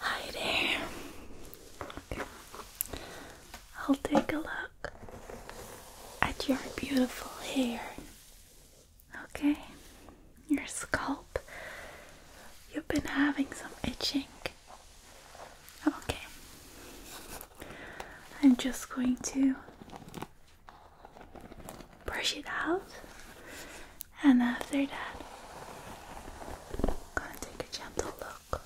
Hi there. I'll take a look at your beautiful hair. Okay, your scalp. You've been having some itching. Okay. I'm just going to brush it out, and after that, gonna take a gentle look.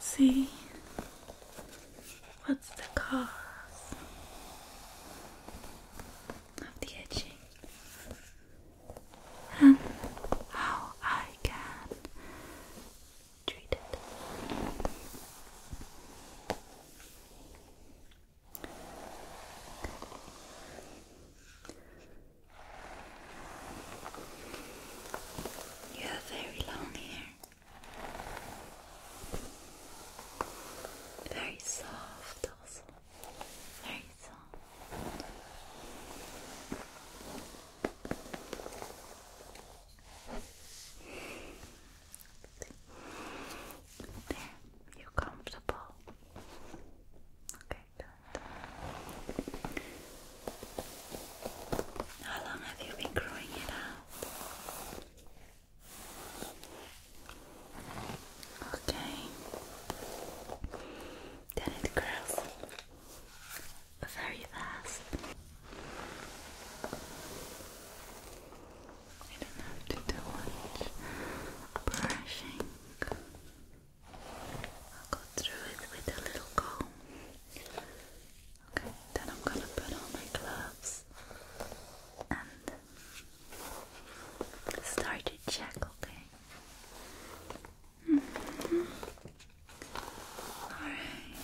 See what's the cause of the itching and how I can treated. You have very long hair, very soft, also very soft. There, you comfortable? Okay, How long have you been growing it out? Okay. Then it grows very fast. I don't have to do much brushing. I'll go through it with a little comb. Okay, then I'm gonna put on my gloves and start to check, mm-hmm. okay? Alright.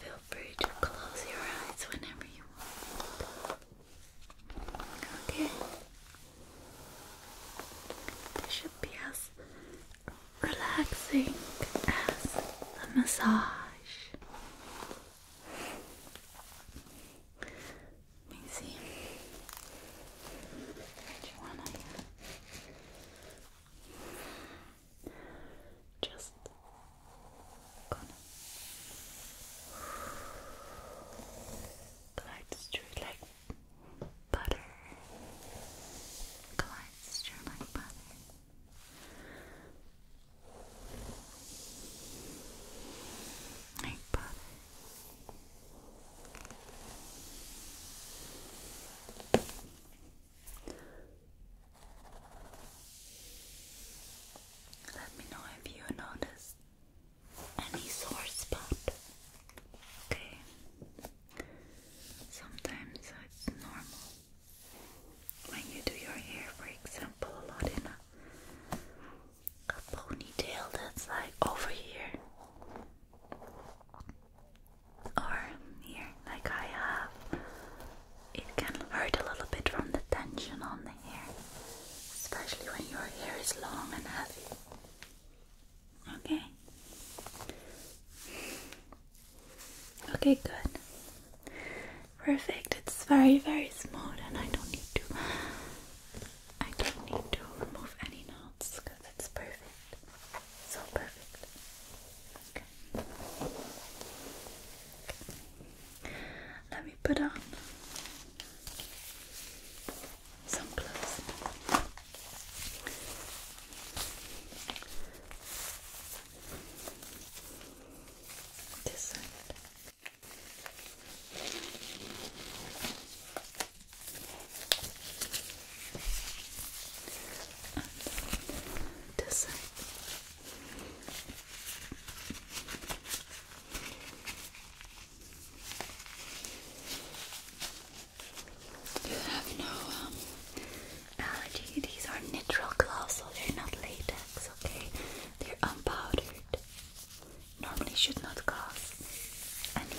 Feel free to close your eyes whenever you want. Okay. This should be as relaxing as the massage. Let me see. Which one just gonna glides through like butter, glides through Like butter. Like butter. Let me know if you notice any sore spot. Okay. Sometimes it's normal. When you do your hair, for example, a lot in a ponytail that's like over here or here, like I have, it can hurt a little bit from the tension on the hair, especially when your hair is long and heavy. Okay. Okay, good. Perfect. It's very, very smooth, and I don't need to. I don't need to remove any knots because it's perfect. So perfect. Let me put on some clothes. This side. Um, These are natural gloves, so they're not latex, okay? They're unpowdered. Normally should not cause any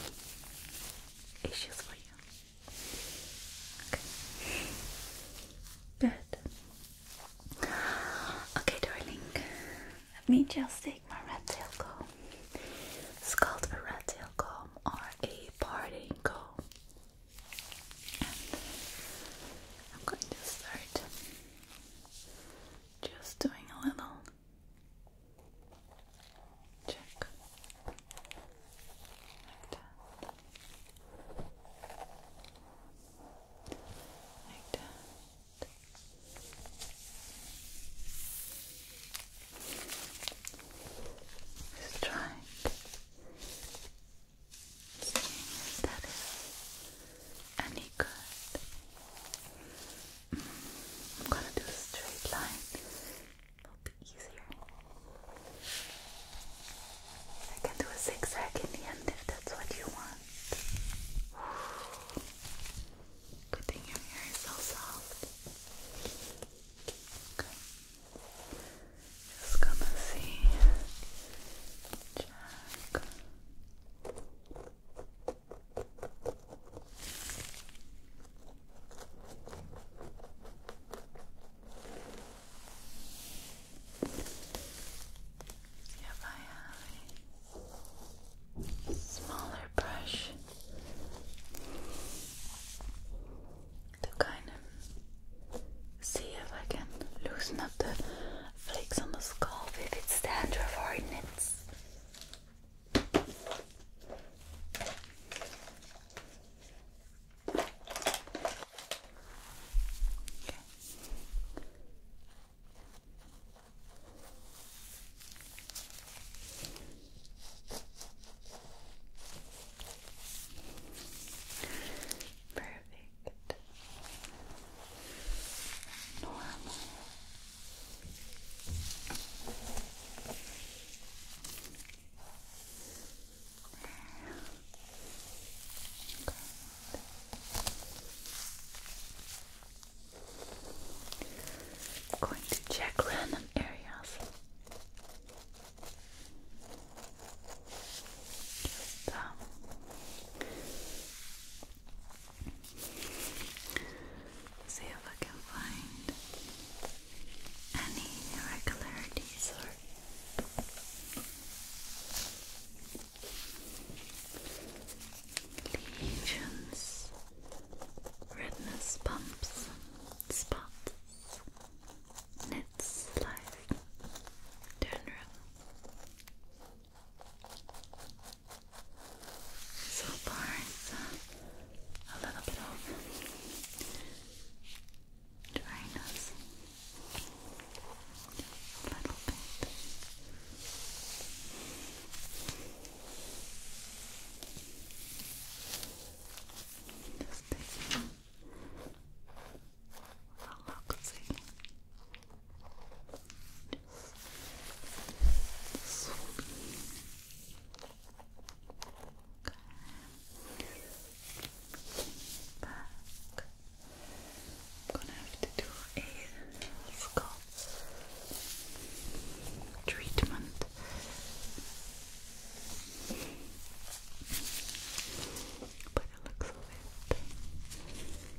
issues for you. Okay. Good. Okay, darling. Let me just take my red tail comb. It's called a red tail comb or a parting comb. I'm going to start just doing a little check like that. Like that. Just try seeing if that is any good. Mm, I'm gonna do a straight line It'll be easier. I can do a zigzag in the end if that's what you want. Good thing your hair is so soft. Just gonna see. Check. If I have a smaller brush to kind of see if I can loosen up the flakes on the scalp if it's dandruff for it knits. Okay. Perfect. Normal. I'm going to check random areas. Um, see if I can find any irregularities or redness bumps, spots, knits, life, general. So far, uh, a little bit over drain us a little bit. Just taking a look, see back. I'm gonna have to do a scalp treatment. By the looks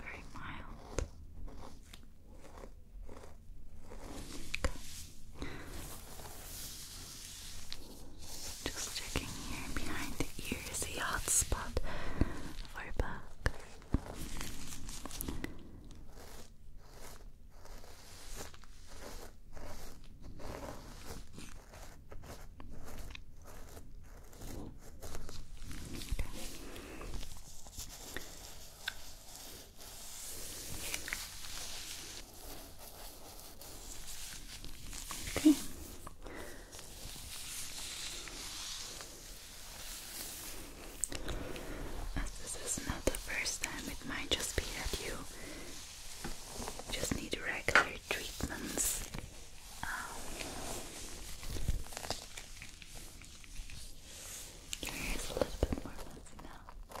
very mild. Just checking here behind the ear a hot spot for bug. Okay. this is not the first time, it might just be that you just need regular treatments. Um, a little bit more messy now.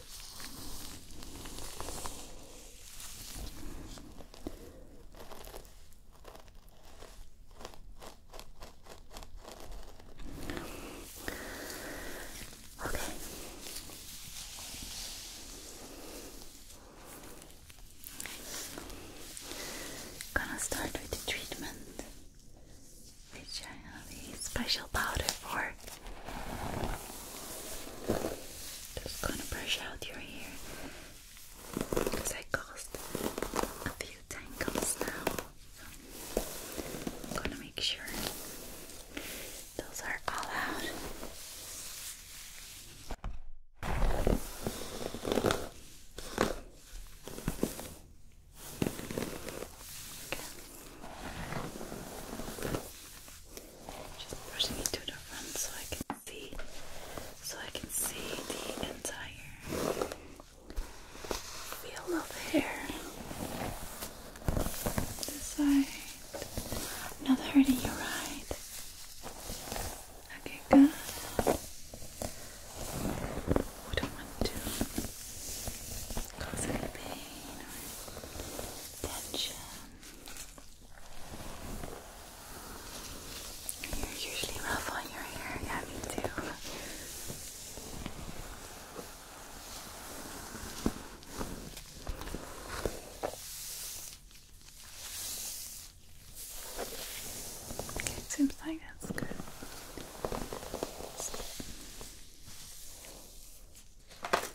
Okay. Gonna start with the treatment which I have a special powder for. Just gonna brush out your hair because I caused a few tangles now. So I'm gonna make sure those are all out. Just brushing it to the front so I can see so I can see the entire field of hair. This side. Not hurting you right. Okay, good. We don't want to causing pain or tension. You're usually rough on your hair, yeah, me too. it seems like that's good. That's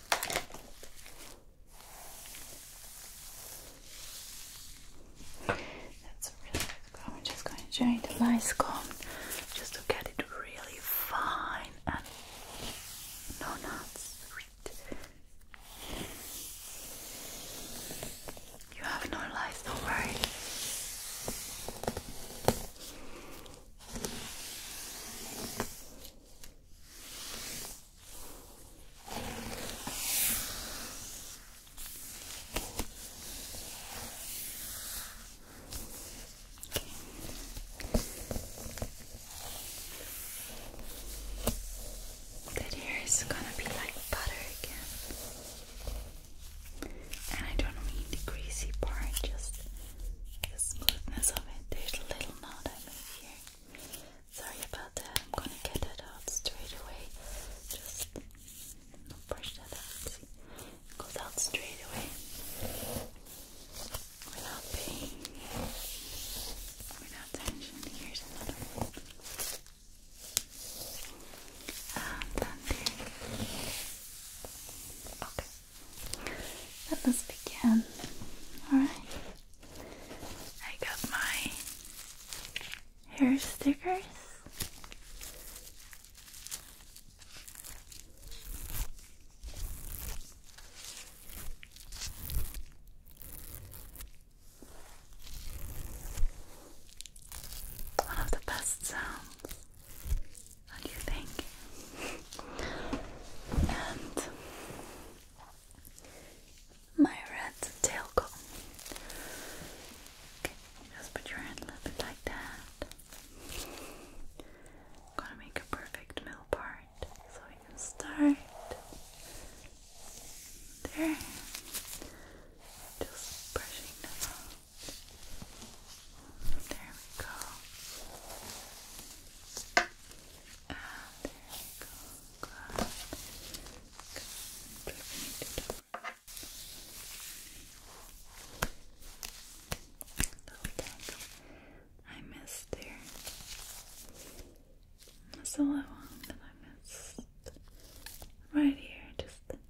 really good. I'm just going to join the nice comb just to get it really fine and no knots. You have no lies, don't worry. That hair is gonna be like butter again and I don't mean the greasy part, just the smoothness of it. There's a little knot I made here. Sorry about that. I'm gonna get that out straight away. Just brush that out. It goes out straight away without pain, without tension. Here's another one. And then Okay. Let us begin. Alright. I got my hair stickers. One of the best sounds what do you think? And my red tail Okay, just put your hand a little bit like that. I'm gonna make a perfect middle part, so we can start there. Just brushing that there we go. there we go. I missed there. That's all I want that I missed. Right here, just a little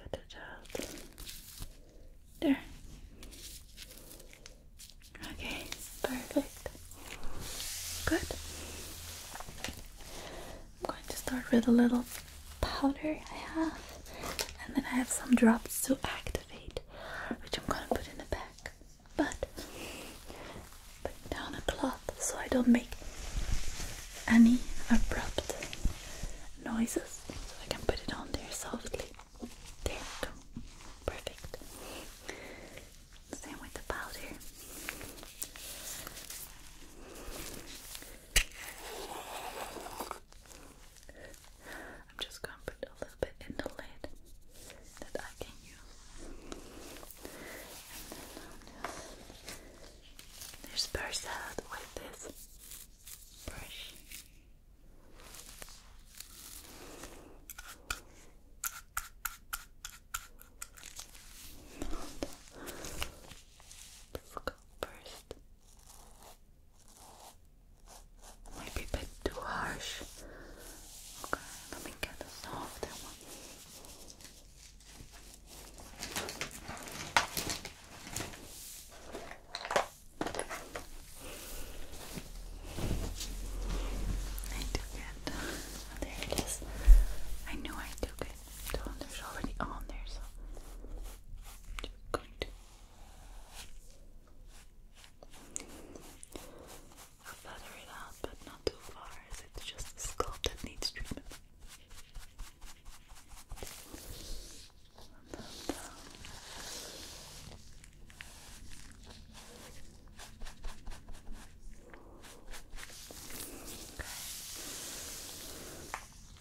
Cut it out. There. Okay, perfect. Good. I'm going to start with a little powder I have, and then I have some drops to activate, which I'm gonna put in the back. But put down a cloth so I don't make any abrupt noises so I can put it on there softly. There we go. Perfect. Same with the powder. I'm just going to put a little bit in the lid that I can use disperse that with this brush. First, maybe a bit too harsh. Okay, let me get a softer one. I took it. Oh, there it is. I knew I took it. The already on there, so good. I'll feather it out, but not too far, as it's just a that needs treatment. Okay.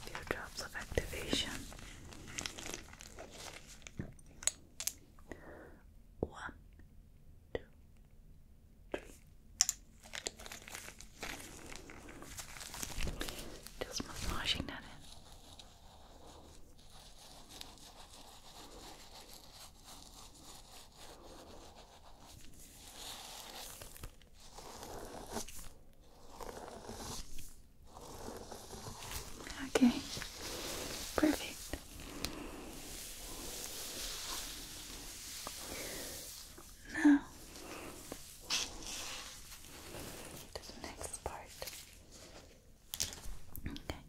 Few drops of activation. One, two, three. Just massaging that in. Okay, perfect. Now to the next part. Okay.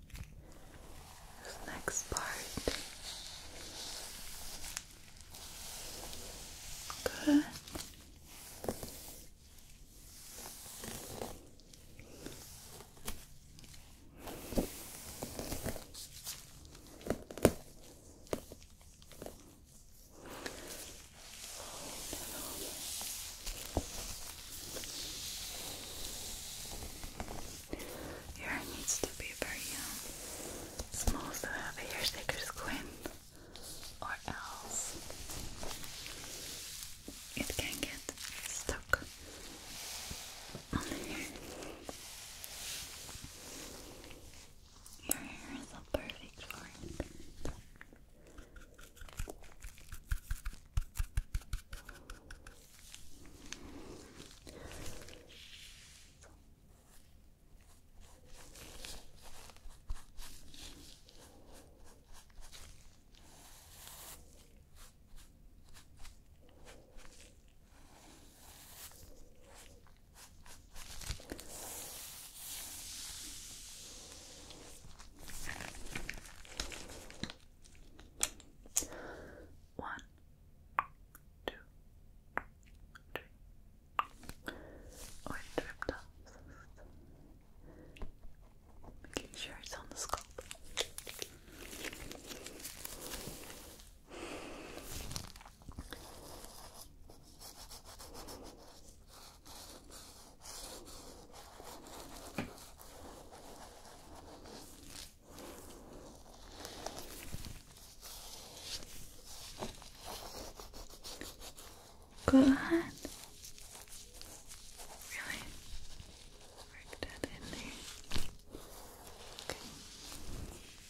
This next part. Good. Your hair needs to be very um, small, so have a hair sticker squint, or else it can get stuck on the hair. Your hair is so perfect for it. One, two, three. Oh, it dripped Making sure it's on the scalp. Go ahead. Really? Work that in there. Okay.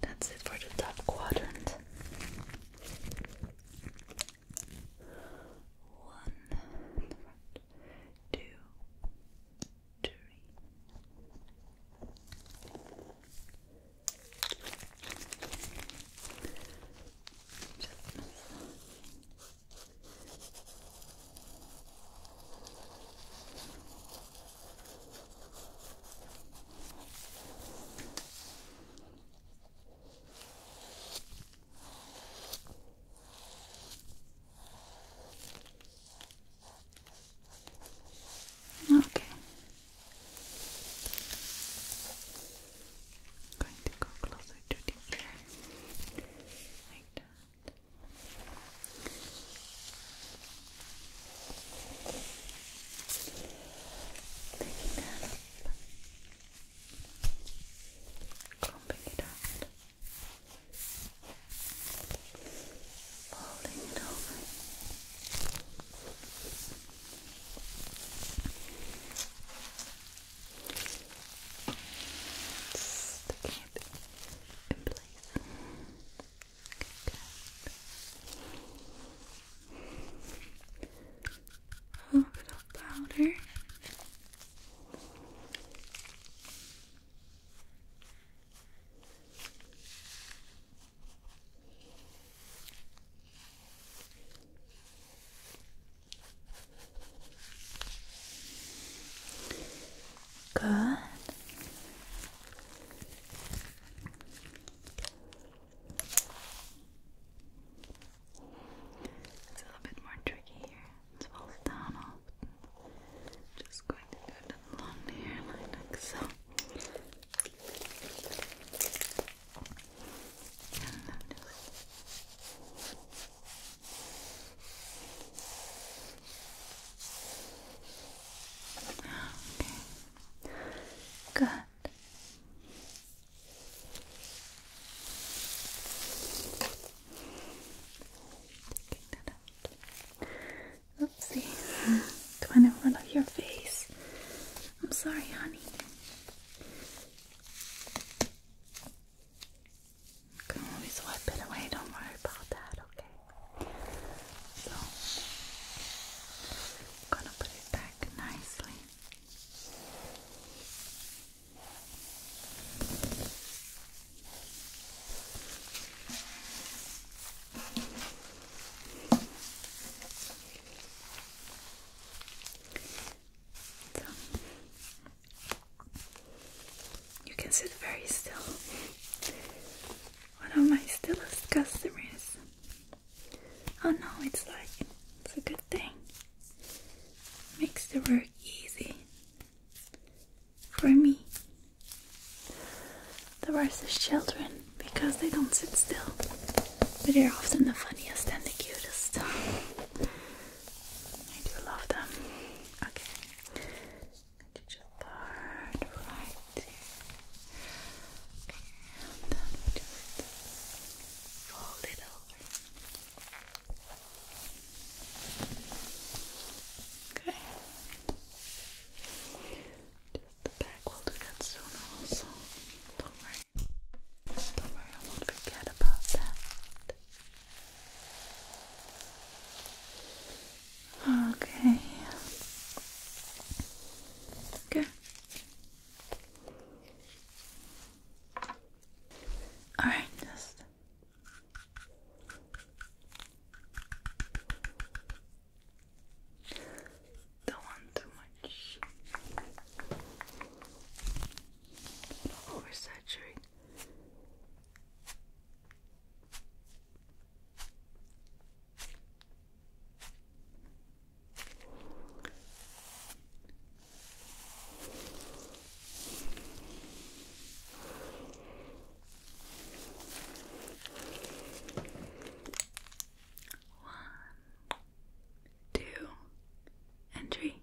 That's it for the top quadrant. One, two, three. Okay. i going to go closer to the ear like that. Picking that up, clumping it out, folding it over. Sticking it in place. Good. A little bit of powder. Good. Good. It's a little bit more tricky here. It falls down off. Just going to do it along the hairline like so. Okay. Good. Oopsie. that Going in front of your face. I'm sorry, honey. You can always wipe it away, don't worry about that, okay? So, gonna put it back nicely. You can sit very still. One of my stillest customers. Oh no, it's like it's a good thing. Makes the work easy for me. The worst is children because they don't sit still, but they're often the funniest and the cutest. I do love them. Okay. Just start right here. and then fold it over. Okay. Just the back will do that Don't worry. Don't worry, I won't forget about that. Okay. Good. All right, don't want too much. Oversaturating. One, two, and three.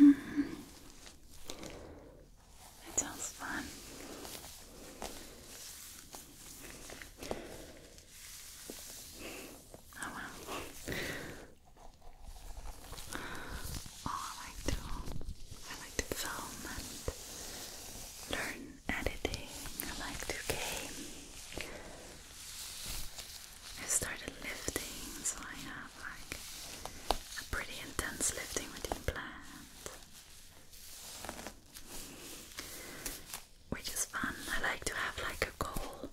Mm That sounds fun. Oh wow. Oh, I like to I like to film and learn editing. I like to game. I started lifting, so I have like a pretty intense lifting routine planned. Which is fun. I like to have like a goal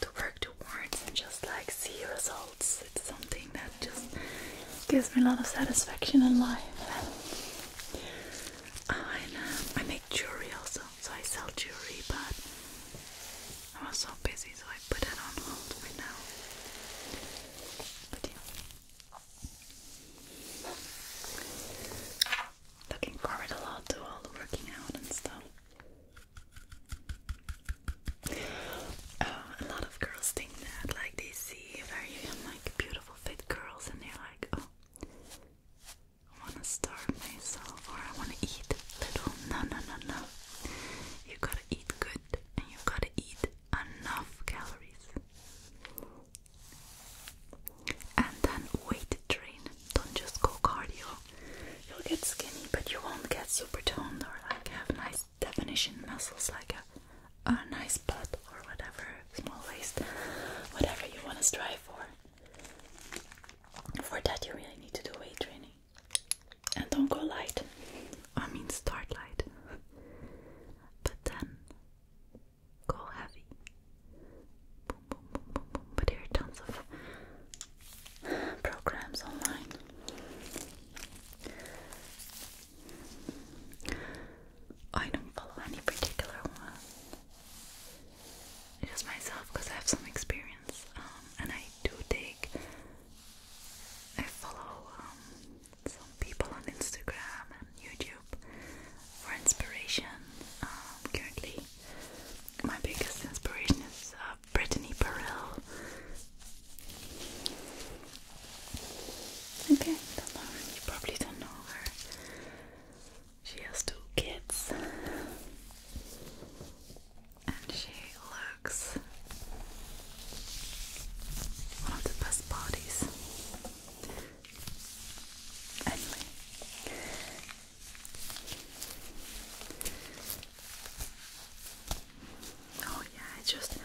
to work towards and just like see results. It's something that just gives me a lot of satisfaction in life. Oh, um, I make jewelry also, so I sell jewelry, but I was so busy, so I put it on hold right now. But yeah. Looking forward a lot to all the working out and stuff. Uh, a lot of girls think that, like they see very like beautiful fit girls, and they're like, "Oh, I want to starve myself, or I want to eat little." No, no, no, no. You gotta eat good and you gotta eat enough calories. And then weight train. Don't just go cardio. You'll get skinny, but you won't get super toned or like have nice definition muscles like a, a nice butt or whatever, small waist, whatever you want to strive for. For that, you really need to do weight training and don't go light. I mean, start light, but then go heavy. But there are tons of programs online. I don't follow any particular one. Just myself, because I have some experience. Um, and I do take. I follow um, some people on Instagram and YouTube for inspiration. Um, currently, my biggest inspiration is uh, Brittany Perrell. Okay, don't know. You probably don't know her. She has two kids and she looks one of the best bodies. Anyway, oh yeah, it's just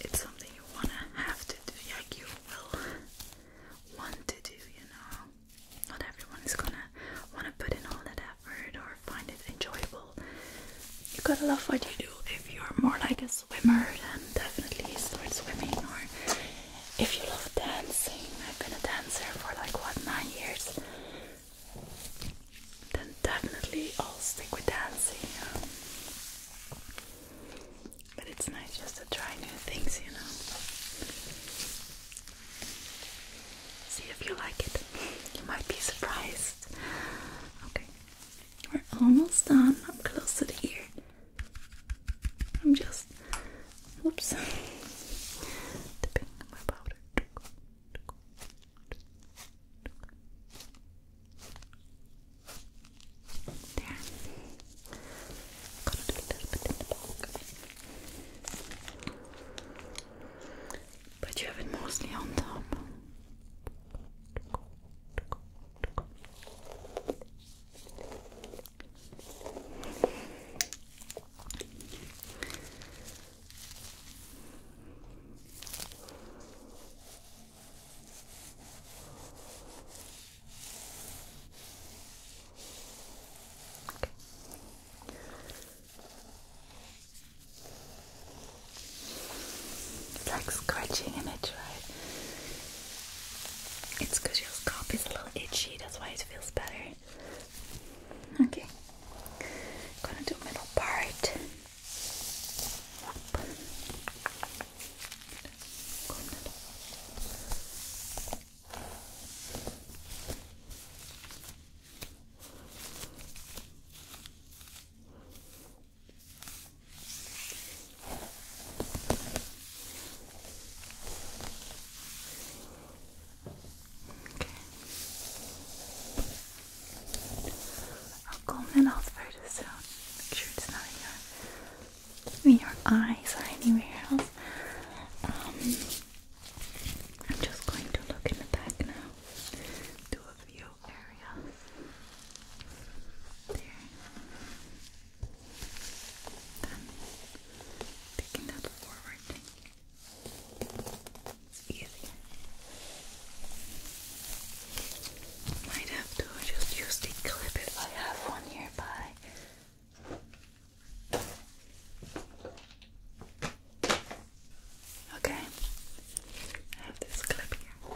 it's something you wanna have to do, like you will want to do, you know. Not everyone is gonna want want to put in all that effort or find it enjoyable, you gotta love what you do. If you're more like a swimmer, then definitely start swimming. Or if you love dancing, I've been a dancer for like what nine years, then definitely I'll stick with dancing. but it's nice just to try new things, you know. See if you like it. You might be surprised. Okay, we're almost done. I'm close to the ear. I'm just, oops, dipping my powder but you have it mostly on top. It's like scratching an itch, right? It's because your scalp is a little itchy, that's why it feels better. Okay, I'm gonna do middle part. I'll comb that off very soon. Make sure it's not in your, eyes or anywhere else. Um, I'm just going to look in the back now, do a few areas. There. Then, taking that forward thing. It's easier. Might have to just use the clip if I have one nearby. Okay, I have this clip here.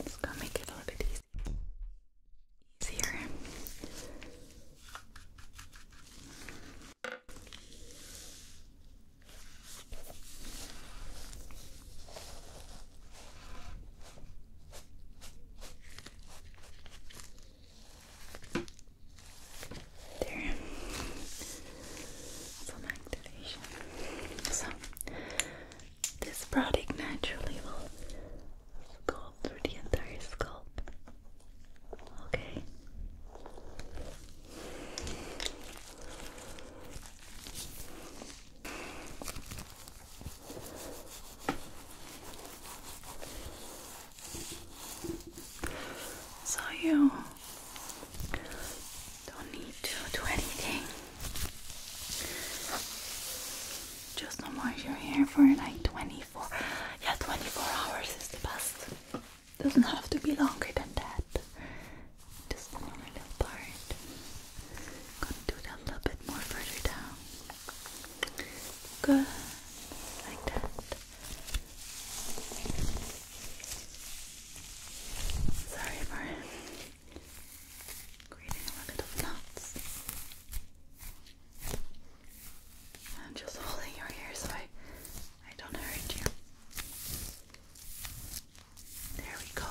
It's gonna make it a little bit easier. There. Some activation. So, this product naturally will go through the entire scalp. Okay. So you don't need to do anything. Just don't wash your hair for like 24. Yeah, 24 hours is the best. Doesn't have to be longer than that. Just one more little part. Gonna do that a little bit more further down. Good. Like that. Sorry for creating a little knots. I'm just holding your ear so I, I don't hurt you. There we go.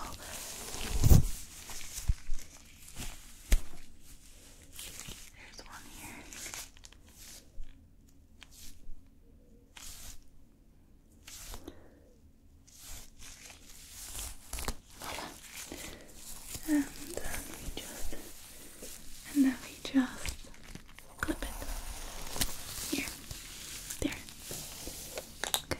There's one here. And then we just and then we just clip it here, there. Okay.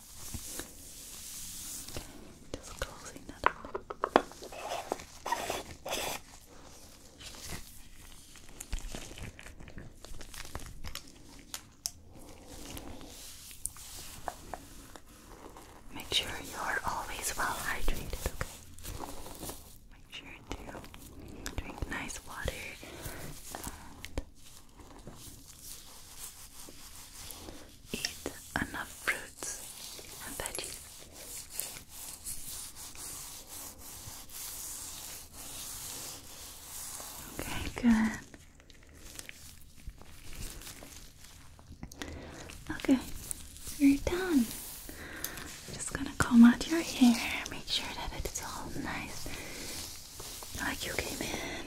Just closing that up. Make sure you are always well hydrated, okay? Make sure to drink nice water eat enough fruits and veggies. Okay, good. Okay, you're done. just gonna comb out your hair, make sure that it's all nice like you came in.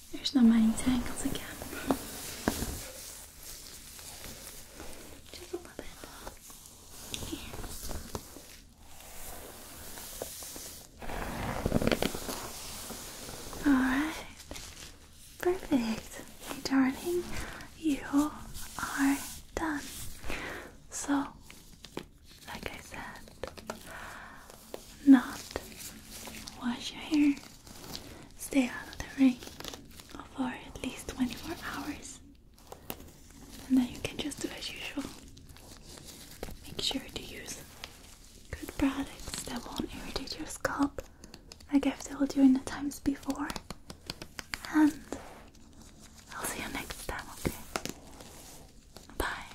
There's not many tangles again. Just a little bit. Alright. Perfect. Hey darling, you are done. So, like I said, not wash your hair, stay out of the rain for at least 24 hours, and then you can just do as usual. Make sure to use good products that won't irritate your scalp, like I've told you in the times before. And I'll see you next time, okay? Bye.